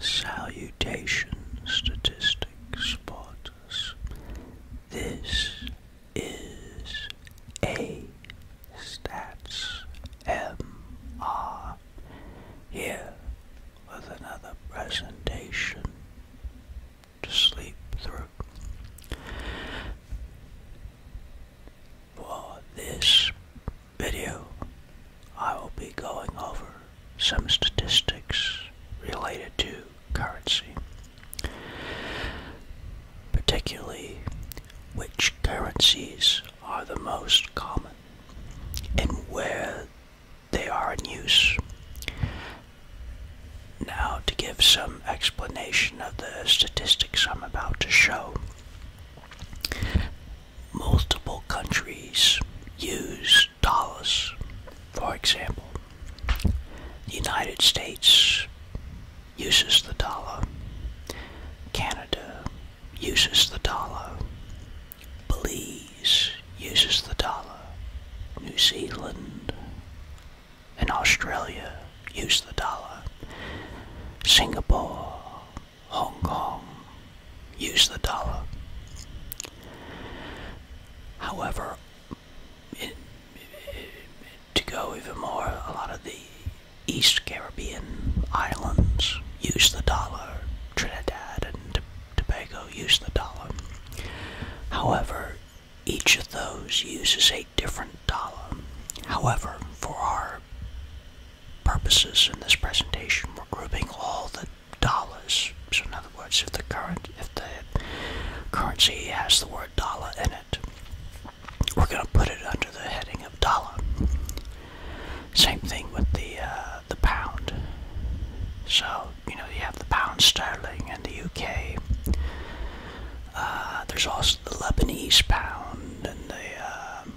Salutation statistics spotters. This is a stats MR here with another presentation to sleep through. For this video, I will be going over some statistics related to currency, particularly which currencies are the most common and where they are in use. Now, to give some explanation of the statistics I'm about to show, multiple countries use dollars. For example, the United States uses the dollar, Canada uses the dollar, Belize uses the dollar, New Zealand and Australia use the dollar, Singapore Hong Kong use the dollar. However, to go even more, a lot of the East Caribbean islands use the dollar. Trinidad and Tobago use the dollar. However, each of those uses a different dollar. However, for our purposes in this presentation, we're grouping all the dollars. So in other words, if the currency has the word dollar in it, we're going to put it under the heading of dollar. Same thing with the uh, the pound. So you know you have the pound sterling in the UK. Uh, there's also the Lebanese pound and the um,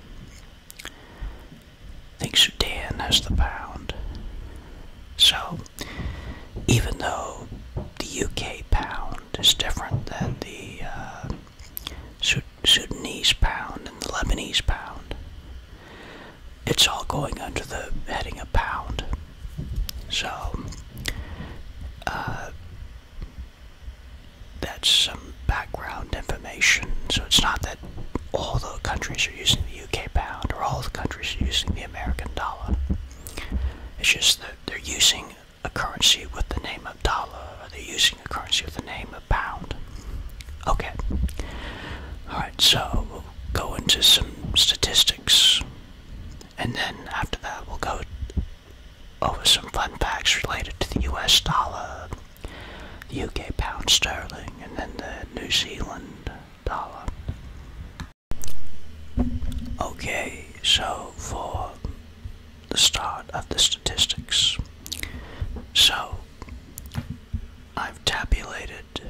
think Sudan has the pound. So, even though the UK pound is different than the uh, Sudanese pound and the Lebanese pound, it's all going under the heading of pound. So, uh, that's some background information. So it's not that all the countries are using the UK pound or all the countries are using the American dollar. It's just that they're using a currency with the name of dollar or they're using a currency with the name of pound. Okay. Alright, so we'll go into some statistics and then after that we'll go over some fun facts related to the US dollar, the UK pound sterling, and then the New Zealand dollar. Okay, so for the start of the statistics. So I've tabulated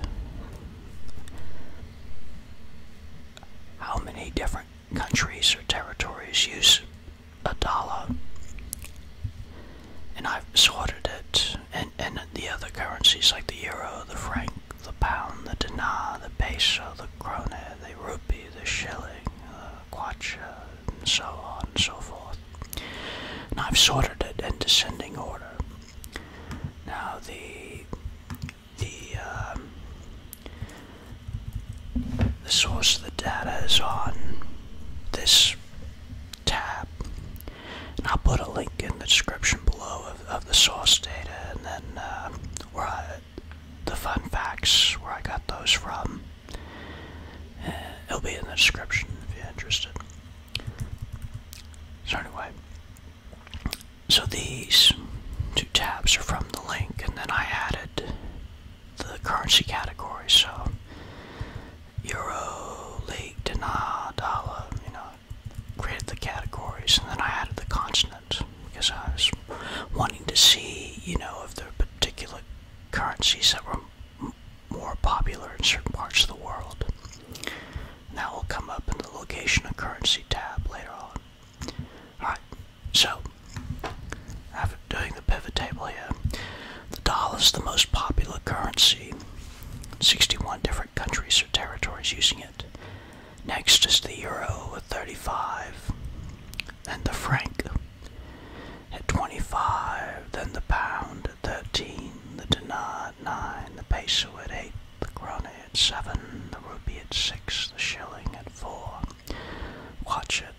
how many different countries or territories use a dollar. And I've sorted it, and, and the other currencies like the euro, the franc, the pound, the dinar, the peso, the krone, the rupee, the shilling, the kwacha, and so on and so forth. And I've sorted it in descending order. Now the the um, the source of the data is on this tab. And I'll put a link in the description below of, the source data and then uh, where the fun facts, where I got those from. Uh, it'll be in the description if you're interested. So, anyway, so these two tabs are from the link, and then I added the currency category. So euro, league, dinar, dollar. You know, created the categories, and then I added the consonants because I was wanting to see, you know, if there were particular currencies that were more popular in certain parts of the world. that will come up in the location of currency tab later on. Alright, so after doing the pivot table here, the dollar is the most popular currency. 61 different countries or territories using it. Next is the euro at 35, then the franc at 25, then the pound at 13, the dinar at 9, the peso at 8, the krona at 7, the rupee at 6, the shilling at 4, watch it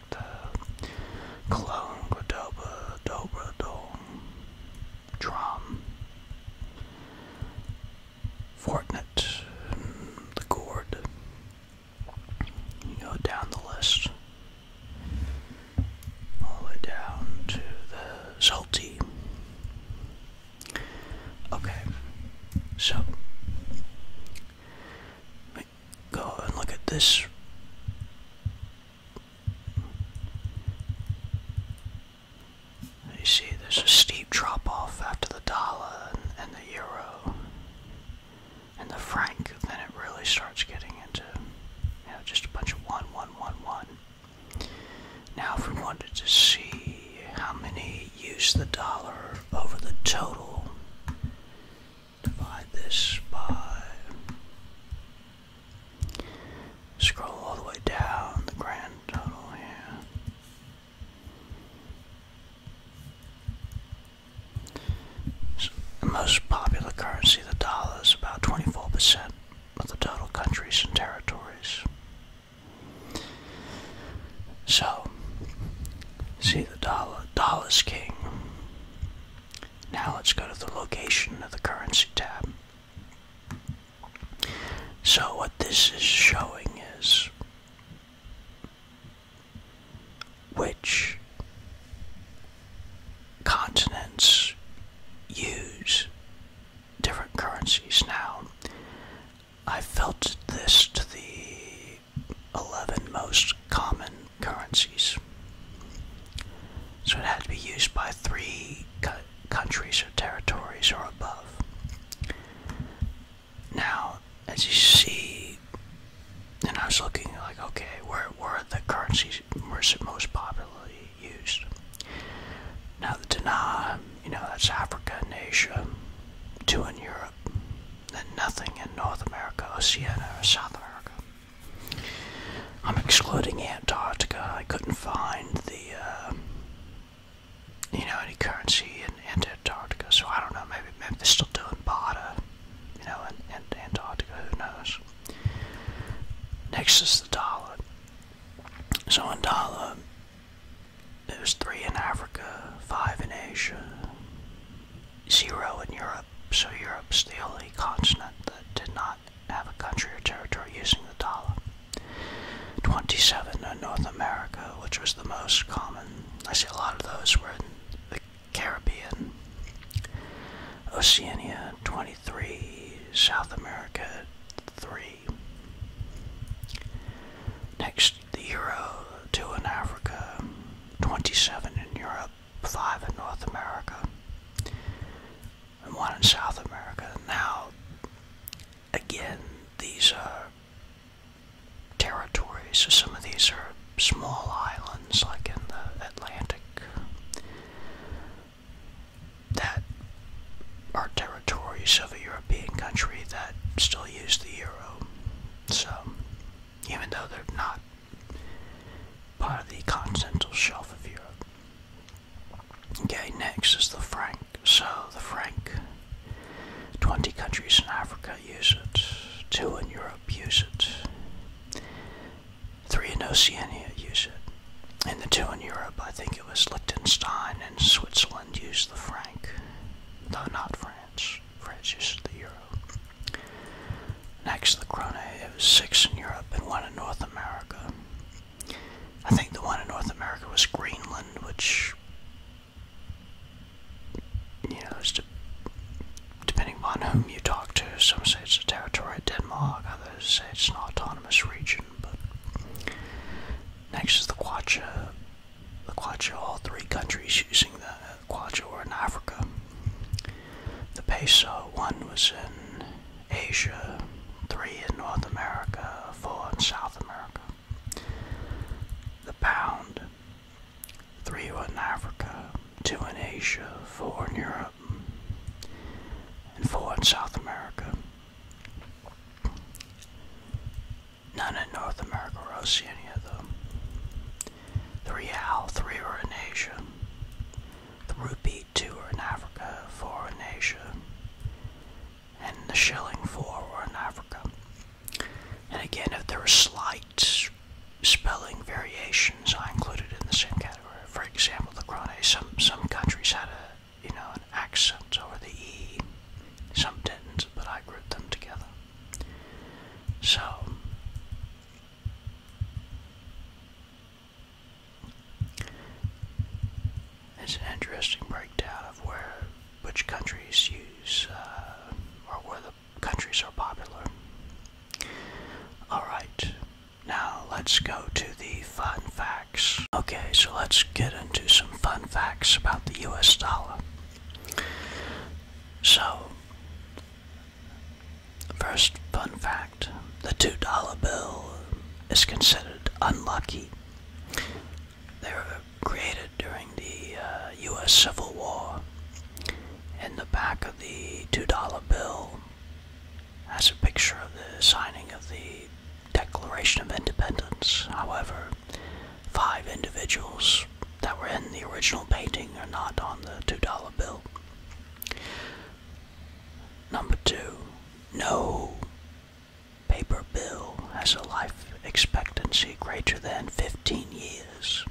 like the Cologne, Cordoba, Dobra, Dome, Drum, Fortinet, the chord You go down the list, all the way down to the Salty. Okay, so my god, look at this. You see, there's a steep drop off after the dollar and, and the euro and the franc, then it really starts getting into you know, just a bunch of one, one, one, one. Now, if we wanted to see how many use the dollar over the total divide this by, scroll all the way down the grand total here. most popular currency, the dollar, is about 24% of the total countries and territories. So, see the dollar, dollar is king. Now let's go to the location of the currency tab. So what this is showing is which continents use different currencies now. I felt this to the 11 most common currencies. So it had to be used by three countries or territories or above. Now, as you see, and I was looking like, okay, where, were the currencies most popularly used? Now the dinar, you know, that's Africa and Asia, two in Europe, than nothing in North America, Oceania, or South America. I'm excluding Antarctica. I couldn't find the, uh, you know, any currency in, Antarctica. So I don't know. Maybe maybe they're still doing barter, you know, in Antarctica. Who knows? Next is the dollar. So in dollar, it was three in Africa, five in Asia, zero in Europe, so Europe's the only continent that did not have a country or territory using the dollar. 27 in North America, which was the most common. I see a lot of those were in the Caribbean. Oceania, 23. South America, 3. Next, the euro, 2 in Africa. 27 in Europe, 5 in North America, and 1 in South America. Now, again, these are territories, so some of these are small islands like in the Atlantic that are territories of a European country that still use the euro. So even though they're not part of the continental shelf of Europe. Okay, next is the franc. So the franc, 20 countries in Africa use it, 2 in Europe use it, 3 in Oceania use it, and the 2 in Europe, I think it was Liechtenstein and Switzerland use the franc, though not France. France uses the euro. Next, the Krone. It was six in Europe and one in North America. I think the one in North America was Greenland, which, you know, is depending on whom you talk to. Some say it's a territory of Denmark, others say it's an autonomous region. But next is the Quacha the Quacho, all three countries using the Quacho are in Africa. The peso, one was in Asia, three in North America, four in South America. The pound, three were in Africa, two in Asia, four in Europe, and four in South America. None in North America or Oceania, though. The real, three were in Asia. The rupee, two were in Africa, four in Asia. And the shilling, four were in Africa. And again, if there were slight spelling variations, I included in the same category. For example, the krone, some, some countries had a, you know, an accent over the E. Some didn't, but I grouped them together. So it's an interesting breakdown of where which countries use uh, or where the countries are popular. All right, now let's go to the fun facts. Okay, so let's get into some fun facts about the U.S. dollar. So, first fun fact the $2 bill is considered unlucky. They were created during the U.S. Uh, Civil War. In the back of the $2 bill has a picture of the signing of the Declaration of Independence. However, five individuals that were in the original painting are not on the $2 bill. Number two, no paper bill has a life expectancy greater than 15 years.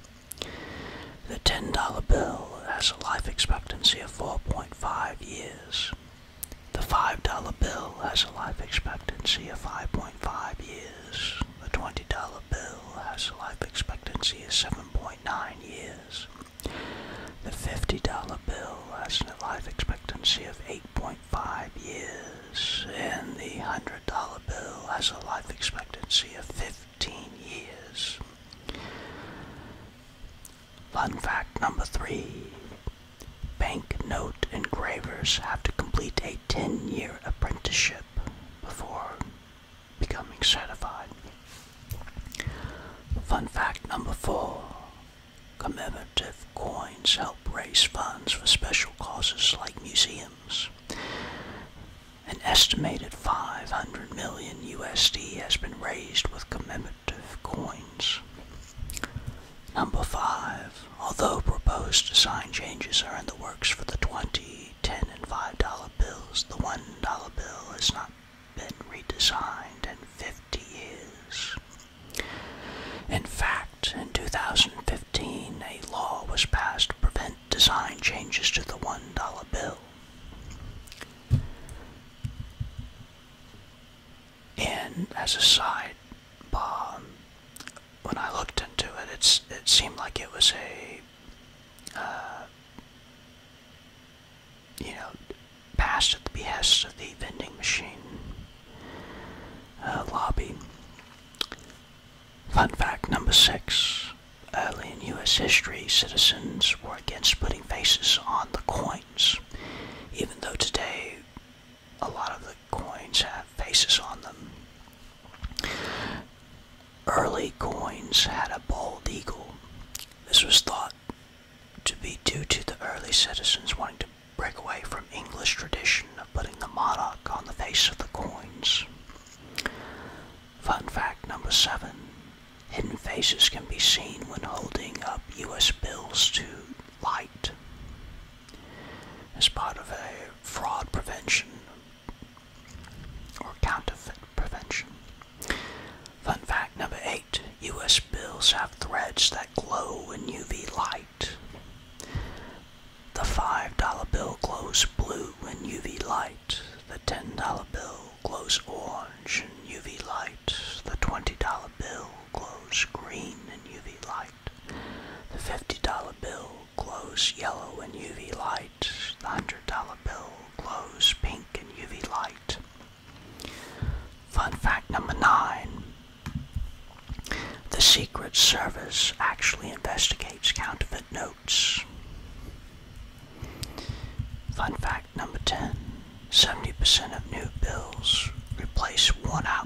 The $10 bill has a life expectancy of 4.5 years. The $5 bill has a life expectancy of 5.5 years. The $20 bill has a life expectancy of 7.9 years. The $50 bill has a life expectancy of 8.5 years. And the $100 bill has a life expectancy of 15 years. Fun fact number three. Bank note engravers have to complete a 10 year apprenticeship before becoming certified. Fun fact number four commemorative coins help raise funds for special causes like museums. An estimated 500 million USD has been raised with commemorative coins. Number five, Although proposed design changes are in the works for the 20, 10, and $5 bills, the $1 bill has not been redesigned in 50 years. In fact, in 2015, a law was passed to prevent design changes to the $1 bill. And as a side but um, when I looked into it, it's it seemed like it was a, uh, you know, passed at the behest of the vending machine uh, lobby. Fun fact number six. Early in U.S. history, citizens were against putting faces on the coins, even though today a lot of the coins have faces on them. Early coins had a bald eagle. This was thought to be due to the early citizens wanting to break away from English tradition of putting the monarch on the face of the coins. Fun fact number seven. Hidden faces can be seen when holding up U.S. bills to light. As part of a fraud prevention or counterfeit prevention. Fun fact number eight US bills have threads that glow in UV light. The $5 bill glows blue in UV light. The $10 bill glows orange in UV light. The $20 bill glows green in UV light. The $50 bill glows yellow in UV light. The $100 bill glows pink in UV light. Fun fact number nine. The Secret Service actually investigates counterfeit notes. Fun fact number 10 70% of new bills replace one out.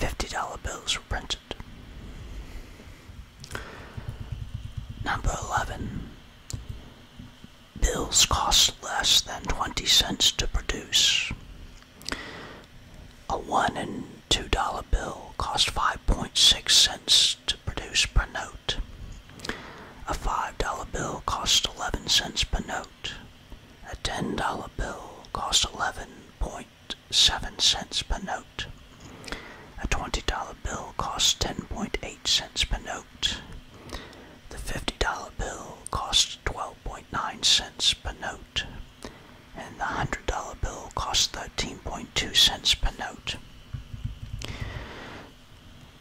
$50 bills were printed. Number 11. Bills cost less than 20 cents to produce. A 1 and $2 bill cost 5.6 cents to produce per note. A $5 bill cost 11 cents per note. A $10 bill costs 11.7 cents per note. A $20 bill costs 10.8 cents per note. The $50 bill costs 12.9 cents per note. And the $100 bill costs 13.2 cents per note.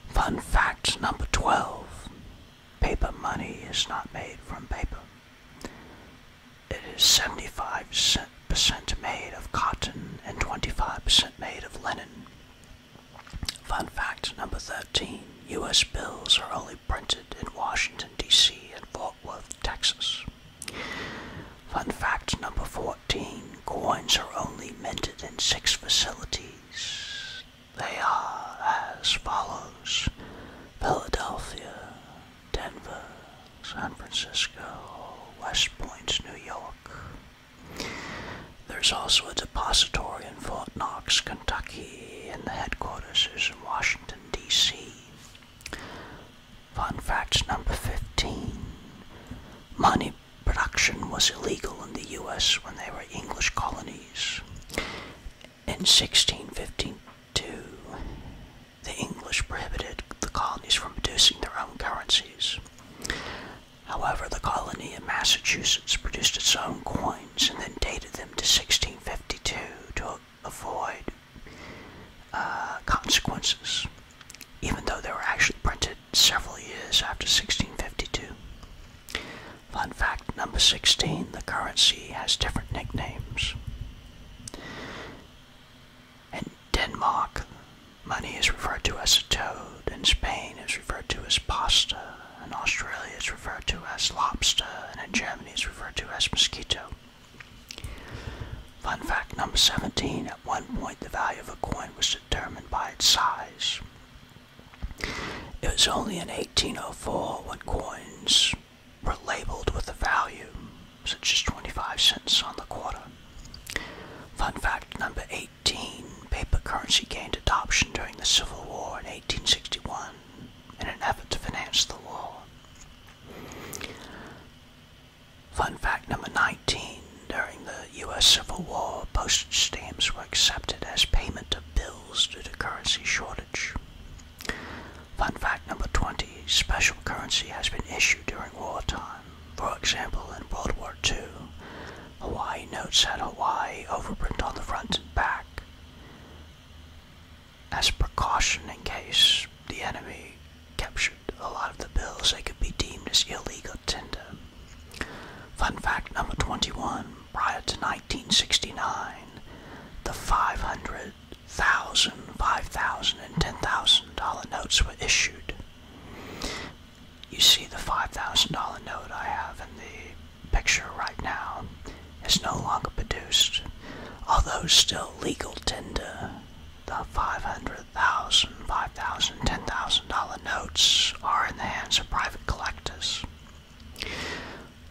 Fun fact number 12. Paper money is not made from paper. It is 75% made of cotton and 25% made of linen. Fun fact number 13 U.S. bills are only printed in Washington, D.C. and Fort Worth, Texas. Fun fact number 14 coins are only minted in six facilities. They are as follows. Philadelphia, Denver, San Francisco, West Point, New York. There's also a depository in Fort Knox, Kentucky, and the headquarters is in Washington, D.C. Fun fact number 15 Money production was illegal in the U.S. when they were English colonies. In 1652, the English prohibited the colonies from producing their own currencies. However, the colony of Massachusetts produced its own coins and then dated them to 1652 to avoid uh, consequences, even though they were actually printed several years after 1652. Fun fact number 16 the currency has different nicknames. In Denmark, money is referred to as a toad, in Spain, it's referred to as pasta, in Australia, it's referred to as lobster, and in Germany, it's referred to as mosquito. Fun fact number 17 at one point, the value of a coin was determined by its size. It was only in 1804 when coins were labeled with a value such as 25 cents on the quarter. Fun fact number 18 paper currency gained adoption during the Civil War in 1861 in an effort to finance the war. Fun fact number 19 during the U.S. Civil War, postage stamps were accepted as payment of bills due to currency shortage. Fun fact number 20 special currency has been issued during wartime. For example, in World War II, Hawaii notes had Hawaii overprint on the front and back as precaution in case the enemy captured a lot of the bills they could be deemed as illegal tender. Fun fact number 21 prior to 1969, the $500,000, 5000, dollars and $10,000 notes were issued. You see the $5,000 note I have in the picture right now is no longer produced, although still legal tender. The 500,000, dollars 5,000, dollars $10,000 notes are in the hands of private collectors.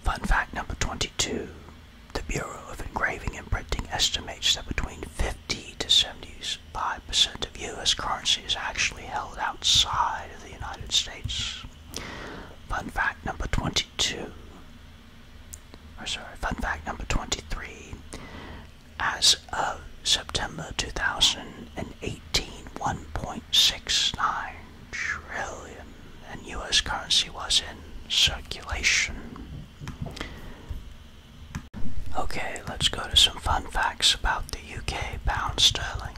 Fun fact number 22 The Bureau of Engraving and Printing estimates that between 50 to 75% of U.S. currency is actually held outside of the United States. Fun fact number 22 or sorry, fun fact number 23. As of September 2018, 1.69 trillion in US currency was in circulation. Okay, let's go to some fun facts about the UK pound sterling.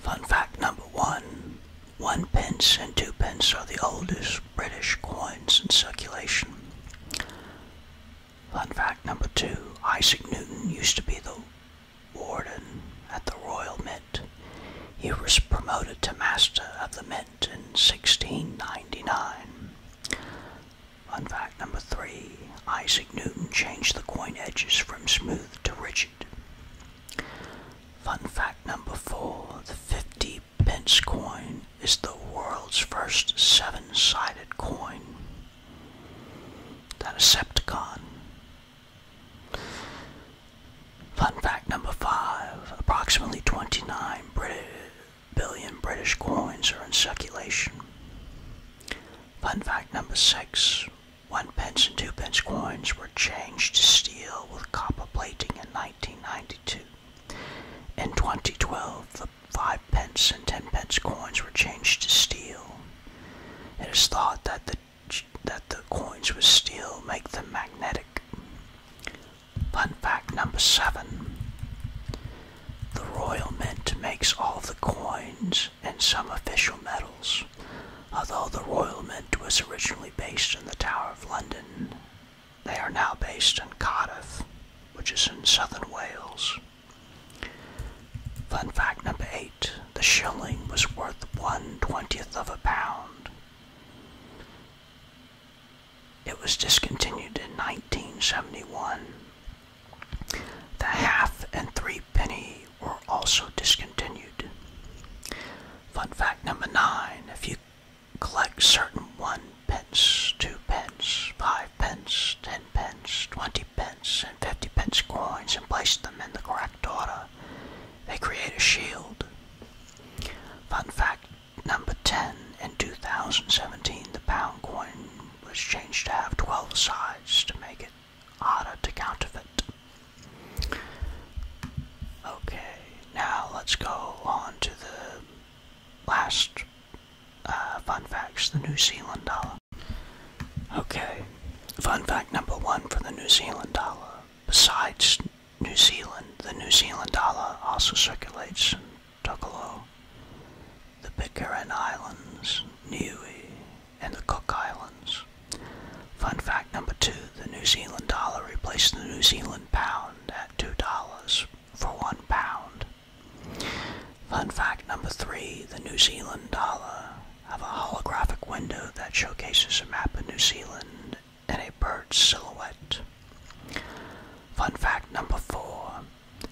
Fun fact number one one pence and two pence are the oldest British coins in circulation. Fun fact number two Isaac Newton used to be the warden at the Royal Mint. He was promoted to Master of the Mint in 1699. Fun fact number three Isaac Newton changed the coin edges from smooth to rigid. Fun fact number four the 50 pence coin is the world's first seven sided coin. That's a Decepticon Fun fact number five approximately twenty-nine billion British coins are in circulation. Fun fact number six one pence and two pence coins were changed to steel with copper plating in 1992. In 2012, the five pence and ten pence coins were changed to steel. It is thought that the that the coins with steel make them magnetic. Fun fact number seven. The Royal Mint makes all the coins and some official medals, although the Royal Mint was originally based in the Tower of London. They are now based in Cardiff, which is in southern Wales. Fun fact number eight the shilling was worth one twentieth of a pound. It was discontinued in 1971. The half and three penny were also discontinued. Fun fact number nine if you collect certain one pence, two pence, five pence, ten pence, 20 pence, and 50 pence coins and place them in the correct order. They create a shield. Fun fact number 10 in 2017, the pound coin was changed to have 12 sides to make it harder to counterfeit. Okay, now let's go on to the last uh, fun facts the New Zealand dollar. Okay, fun fact number one for the New Zealand dollar. Besides New Zealand, the New Zealand dollar also circulates in Tokolo, the Pitcairn Islands, Niue, and the Cook Islands. Fun fact number two, the New Zealand dollar replaced the New Zealand pound at $2 for one pound Fun fact number three the New Zealand dollar have a holographic window that showcases a map of New Zealand and a bird silhouette. Fun fact number four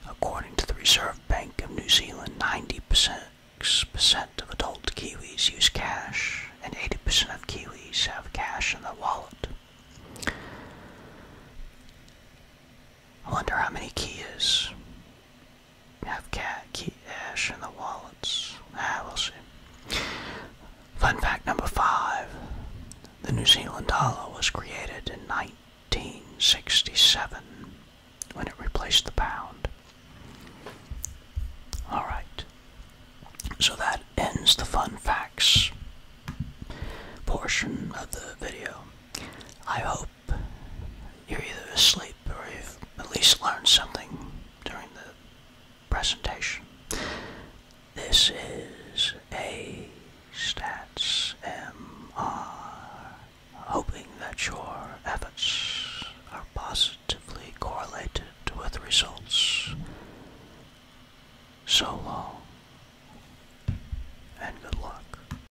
according to the Reserve Bank of New Zealand, 90% of adult Kiwis use cash and 80% of Kiwis have cash in their wallet. I wonder how many Kias have cat key ash in the wallets. Ah, we'll see. Fun fact number five. The New Zealand dollar was created in 1967 when it replaced the pound. Alright, so that ends the fun facts portion of the video. I hope you're either asleep or you've at least learned something during the presentation. This is a Stats MR, hoping that your efforts are positively correlated with results. So long, and good luck.